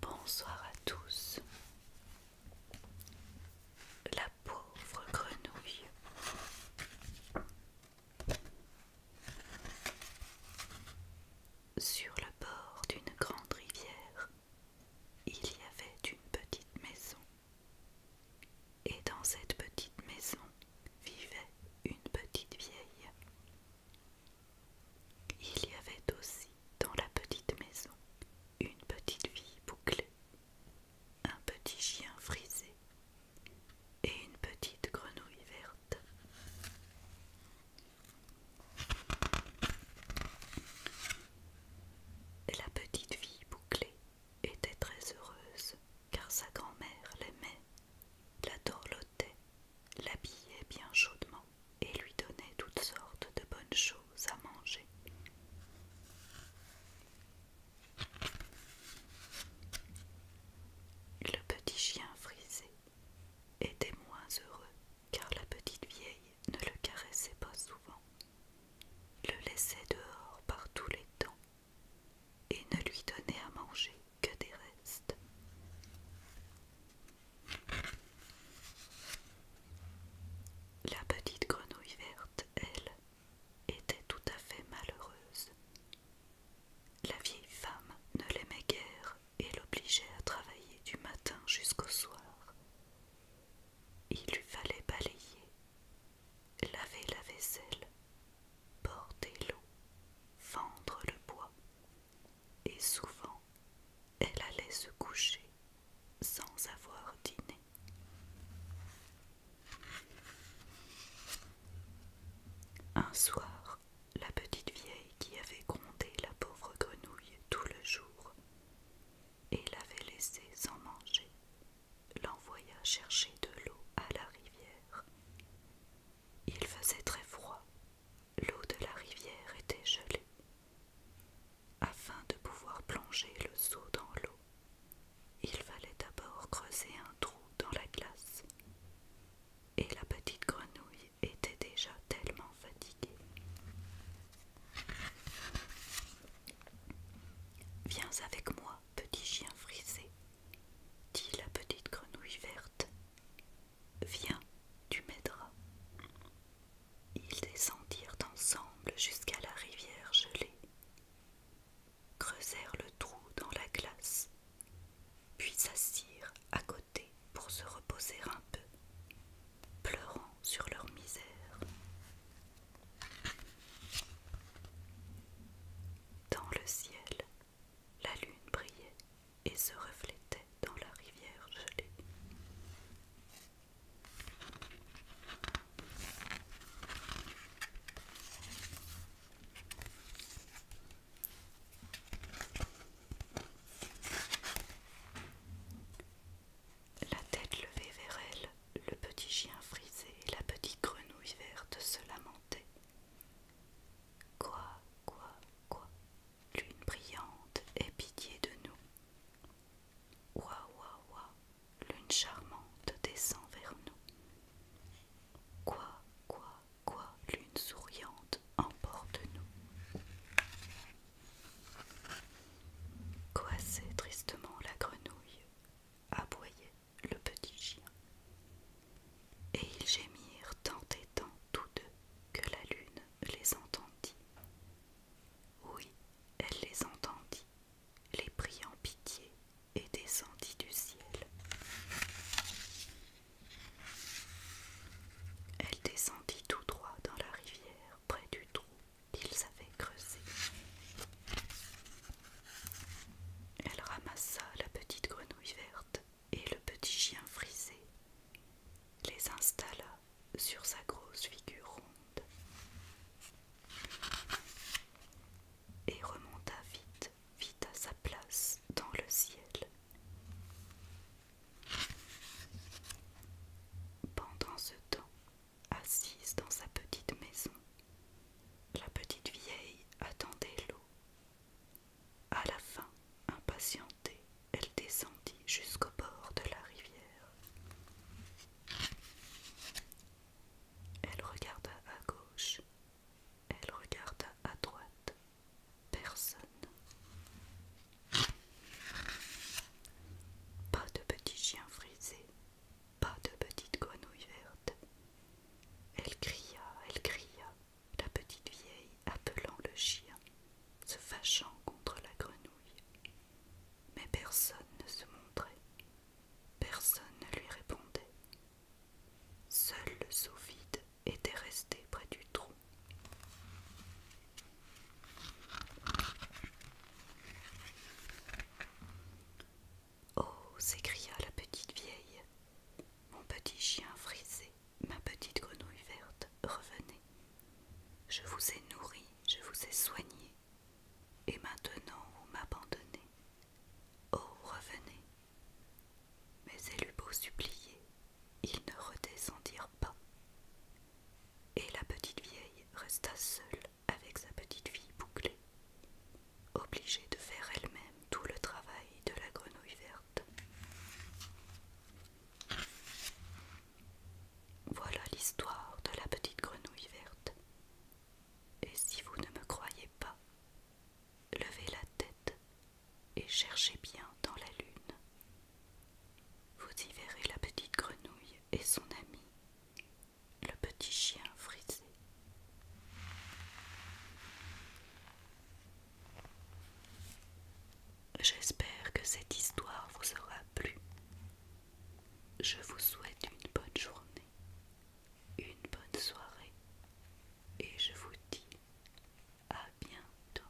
Bonsoir à tous. La pauvre grenouille sur le bord d'une grande rivière, il y avait une petite maison. Et dans cette petite maison vivait une petite vieille. Il y avait aussi dans la petite maison une petite vieille bouclée, un petit chien frisé et une petite grenouille verte. La petite fille bouclée était très heureuse car sa grand-mère l'aimait, la dorlotait, l'habillait bien chaudement et lui donnait toutes sortes de bonnes choses à manger. Le petit chien frisé était moins heureux car la petite vieille ne le caressait pas souvent, le laissait dehors par tous les temps et ne lui donnait à manger que des restes. La petite grenouille verte, elle, était tout à fait malheureuse. La vieille femme ne l'aimait guère elle l'obligeait à travailler du matin jusqu'au soir. Il lui fallait balayer, laver la vaisselle, porter l'eau, vendre le bois, et souvent elle allait se coucher sans avoir dîné. Un soir, la petite vieille qui avait grondé la pauvre grenouille tout le jour et l'avait laissée sans manger, l'envoya chercher de l'eau à la rivière. Il faisait très froid, l'eau de la rivière était gelée. Afin de pouvoir plonger le seau dans l'eau, il fallait d'abord creuser un trou dans la glace. Et la petite grenouille était déjà tellement fatigué. Viens avec moi, petit chien frisé, dit la petite grenouille verte. Viens, tu m'aideras. Ils descendirent ensemble jusqu'à la rivière gelée, creusèrent le trou dans la glace, puis s'assirent à côté pour se reposer un peu, pleurant sur leur misère. Dans le ciel, la lune brillait et se reflétait dans la rivière gelée. La tête levée vers elle, le petit chien frisé et la petite grenouille verte se lamentaient. Quoi, quoi, quoi, lune brillante, aie pitié de nous. Quoi ouah, quoi, lune charmante, descend vers nous. Quoi, quoi, quoi lune souriante emporte-nous. Coissait tristement la grenouille, aboyait le petit chien. Et ils gémirent tant et tant tous deux que la lune les entendit. Oui, elle les entendit, les prit en pitié et descendit du ciel. Elle descendit tout droit dans la rivière, près du trou qu'ils avaient creusé. Elle ramassa la petite grenouille verte et le petit chien frisé, les installa sur sa grosse figure ronde et remonta vite vit à sa place dans le ciel. Pendant ce temps, assise dans sa petite maison, la petite vieille attendait l'eau. À la fin, impatientée, elle descendit jusqu'au bord de la rivière. Elle regarda à gauche, elle regarda à droite, personne. Pas de petit chien frisé, pas de petite grenouille verte. Elle cria, elle cria, la petite vieille appelant le chien, se fâchant contre la grenouille. Mais personne ne se montrait, personne ne lui répondait. Seul le seau vide était resté près du trou. Oh s'écria la petite vieille, mon petit chien frisé, ma petite grenouille verte, revenez. Je vous ai nourri, je vous ai soigné, et maintenant vous m'abandonnez. Oh, revenez, mais elle eut beau supplier, ils ne redescendirent pas. Et la petite vieille resta seule avec sa petite fille bouclée, obligée de faire elle-même tout le travail de la grenouille verte. Voilà l'histoire de la petite grenouille verte. Et si vous ne me croyez pas, levez la tête et cherchez bien dans la lune. Vous y verrez la petite grenouille et son ami, le petit chien frisé. J'espère que cette histoire vous aura plu. Je vous souhaite une bonne journée, une bonne soirée et je vous dis à bientôt.